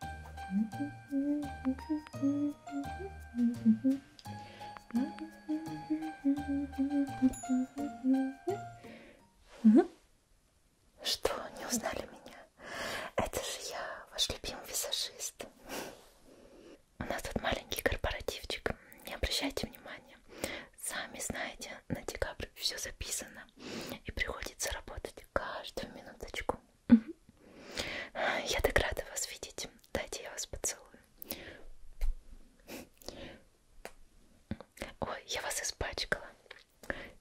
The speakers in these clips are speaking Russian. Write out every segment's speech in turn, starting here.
Что, не узнали меня? Это же я, ваш любимый визажист. У нас тут маленький корпоративчик. Не обращайте внимания. Сами знаете, на декабрь все записано. И приходится работать каждую минуточку. Я так рада вас видеть. Дайте я вас поцелую. Ой, я вас испачкала.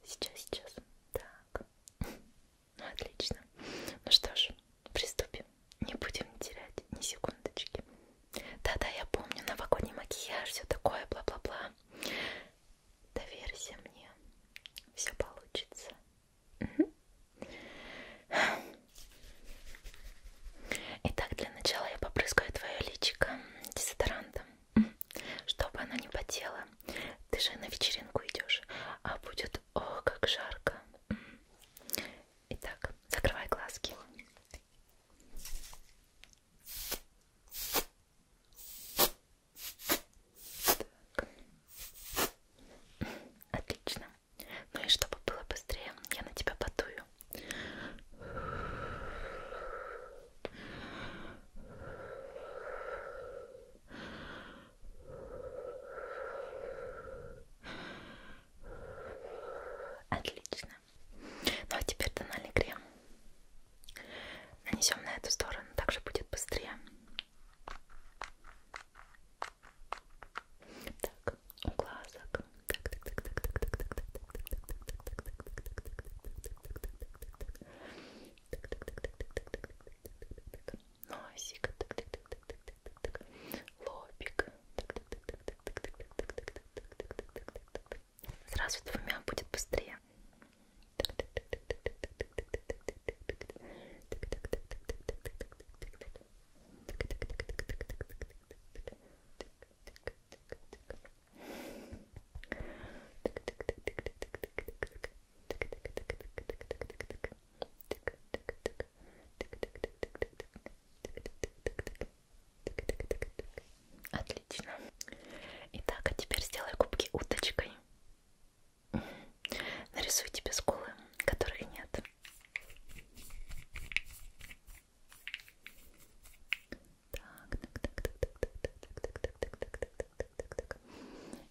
Сейчас, сейчас. Так. Ну, отлично. Ну что ж, приступим. Не будем терять ни секундочки. Да-да, я помню, новогодний макияж, все такое, бла-бла-бла. Доверься мне, все получится. Итак, для начала я попрыскаю твое личико дезодорантом, чтобы оно не потело. Ты же на вечеринку идешь, а будет о, как жарко. Итак, закрывай глазки. Так. Отлично. Ну и чтобы было быстрее, я на тебя потую. Отлично. Ну а теперь тональный крем. Нанесем на эту сторону, также будет быстрее. Так, у глазок. Так, так, так, так, так, так, так, так, так, так, так, так, так, так, так, так, так, так, так, так, Сразу двумя будет быстрее. Отлично. Итак, а теперь сделай губки уточкой. Нарисую тебе скулы, которых нет. Так, так, так, так, так, так, так, так, так, так, так, так, так, так, так, так.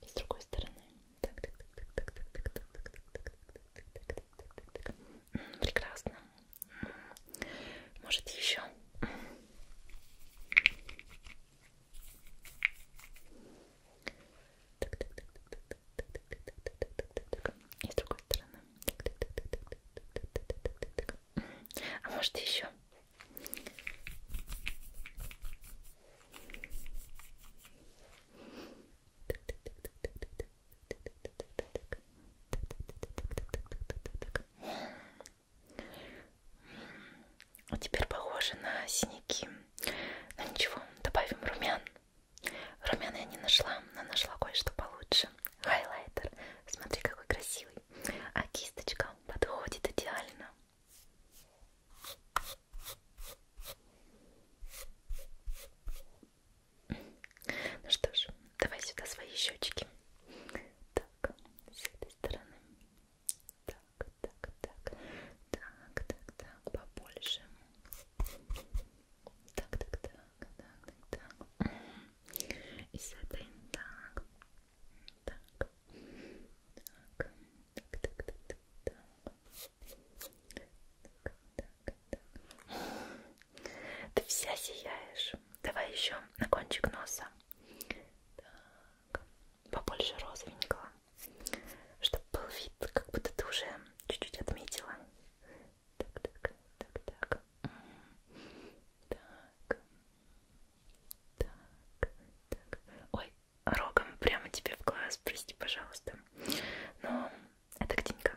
И с другой стороны. Так, так, так, так, так, так, так, так, так, так, так, так. Прекрасно. Может еще? И с другой стороны. А может еще? Теперь похоже на синяки. Но ну, ничего, добавим румян. Румяна я не нашла, но нашла кое-что получше. Хайлайтер. Смотри, какой красивый. А кисточка подходит идеально. Ну что ж, давай сюда свои щечки. Так, с этой стороны. Так, так, так, так, так, так, побольше. Так, так, так, так, так, так. И с этой так, так, так, так, так, так, так, так, так, так. Ты вся сияешь. Давай еще на кончик носа. Так, побольше розовенького, чтобы был вид, как будто ты уже чуть-чуть отметила. Так, так, так, так. Так. Так, так. Ой, рогом прямо тебе в глаз, прости, пожалуйста. Но ну, это ктинька.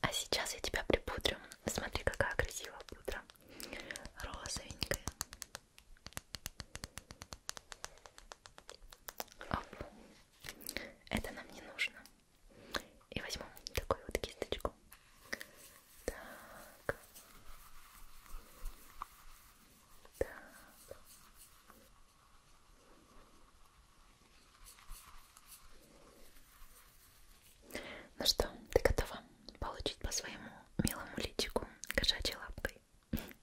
А сейчас я тебя припудрю. Смотри, какая красивая пудра. Розовенькая. Оп. Это нам не нужно. И возьму такую вот кисточку. Так. Так. Ну что, ты готова получить по своему милому личику кошачьей лапкой?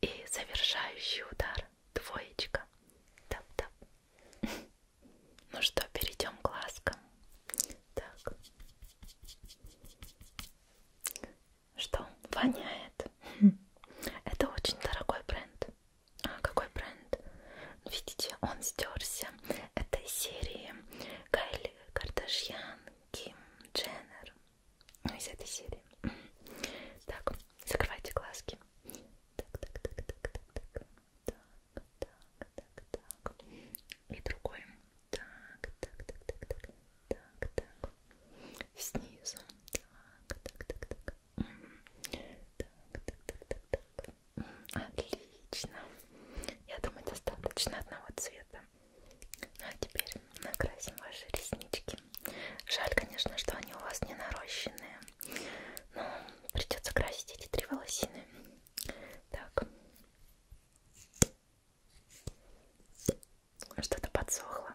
И завершающий удар двоечка. Тап -тап. Ну что, перейдем к глазкам. Так. Что, воняет? Это очень дорогой бренд. А какой бренд? Видите, он стерся. Это из серии Кайли Кардашьян, Ким Дженнер. Ну, из этой серии. Так, закрывайте глазки. Так, так, так, так, так, так. Так, так, так, так. И другой. Так, так, так, так, так. Так, так. Снизу. Так, так, так, так. Так, так, так, так, так. Отлично. Я думаю, достаточно одного цвета. Ну а теперь накрасим ваши реснички. Жаль, конечно, что они у вас не нарощенные. Но ну, придется красить эти три волосины. Так. Что-то подсохло.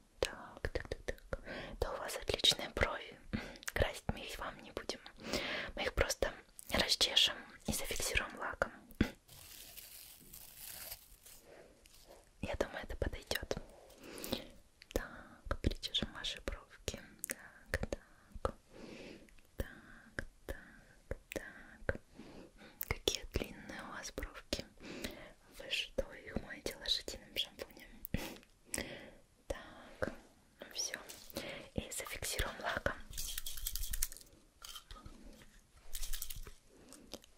Так, так, так, так. Да у вас отличные брови. Красить мы их вам не будем. Мы их просто расчешем и зафиксируем лаком. Я думаю, это подойдет. Так, причешем ваши бровки. Так, так. Так, так, так. Какие длинные у вас бровки. Вы что, их моете лошадиным шампунем? Так, ну все. И зафиксируем лаком.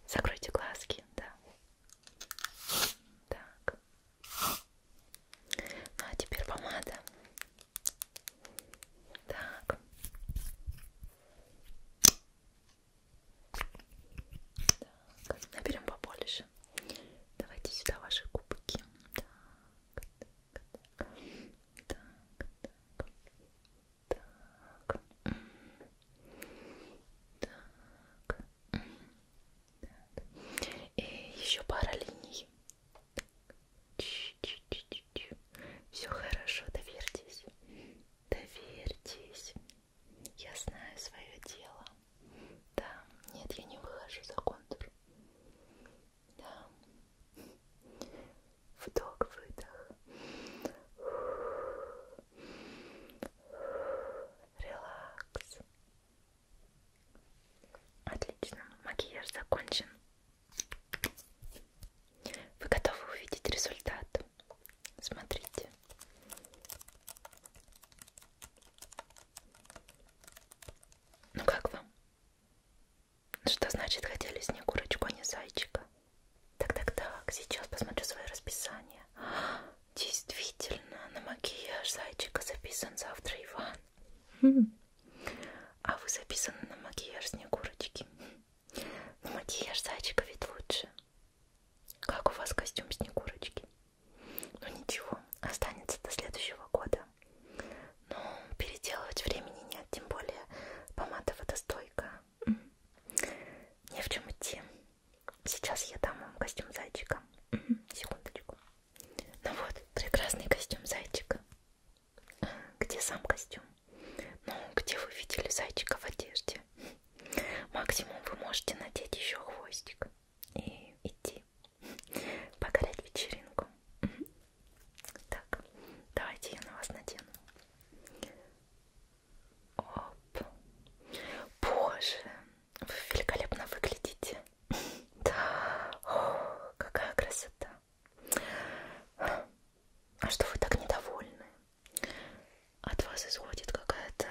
Закройте глазки, да. Так. Ну а теперь помада. Так. Так, наберем побольше. Давайте сюда ваши кубики. Так, так, так, так, так, так. так. И еще пара линий. Все хорошо, доверьтесь. Доверьтесь. Я знаю свое дело. Да, нет, я не выхожу за контур. Да. Вдох, выдох. Релакс. Отлично, макияж закончен. Вы готовы увидеть результат? Смотрите. Ну как вам? Что значит хотели с ней курочку, а не зайчика? Так-так-так, сейчас посмотрю свое расписание. Действительно, на макияж зайчика записан завтра Иван. Хм. А вы записаны на макияж снегурочки. На макияж зайчика ведь лучше. Как у вас костюм Снегурочки? Ну ничего, останется до следующего года. Но переделывать времени нет, тем более помада водостойкая. Mm -hmm. Не в чем идти. Сейчас я дам вам костюм зайчика. Mm -hmm. Секундочку. Ну вот, прекрасный костюм зайчика. Где сам костюм? Ну, где вы видели зайчика в одежде? Максимум вы можете надеть еще хвостик и идти покорять вечеринку. Так, давайте я на вас надену. Оп. Боже, вы великолепно выглядите. Да, О, какая красота. А что вы так недовольны? От вас исходит какая-то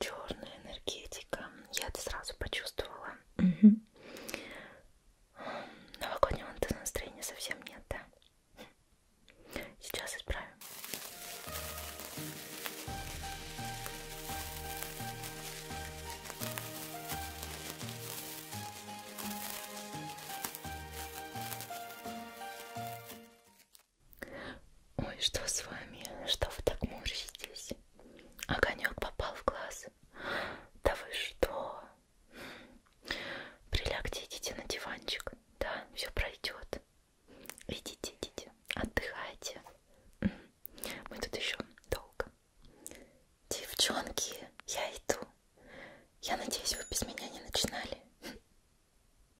черная энергетика. Я это сразу почувствовала. Угу. Новогоднего-то настроения совсем нет, да? Сейчас исправим. Ой, что с вами? Что вы так морщитесь? Огонек попал в глаз. Да вы что? Прилягте, идите на диванчик. Да, все пройдет. Идите, идите, отдыхайте. Мы тут еще долго. Девчонки, я иду. Я надеюсь, вы без меня не начинали.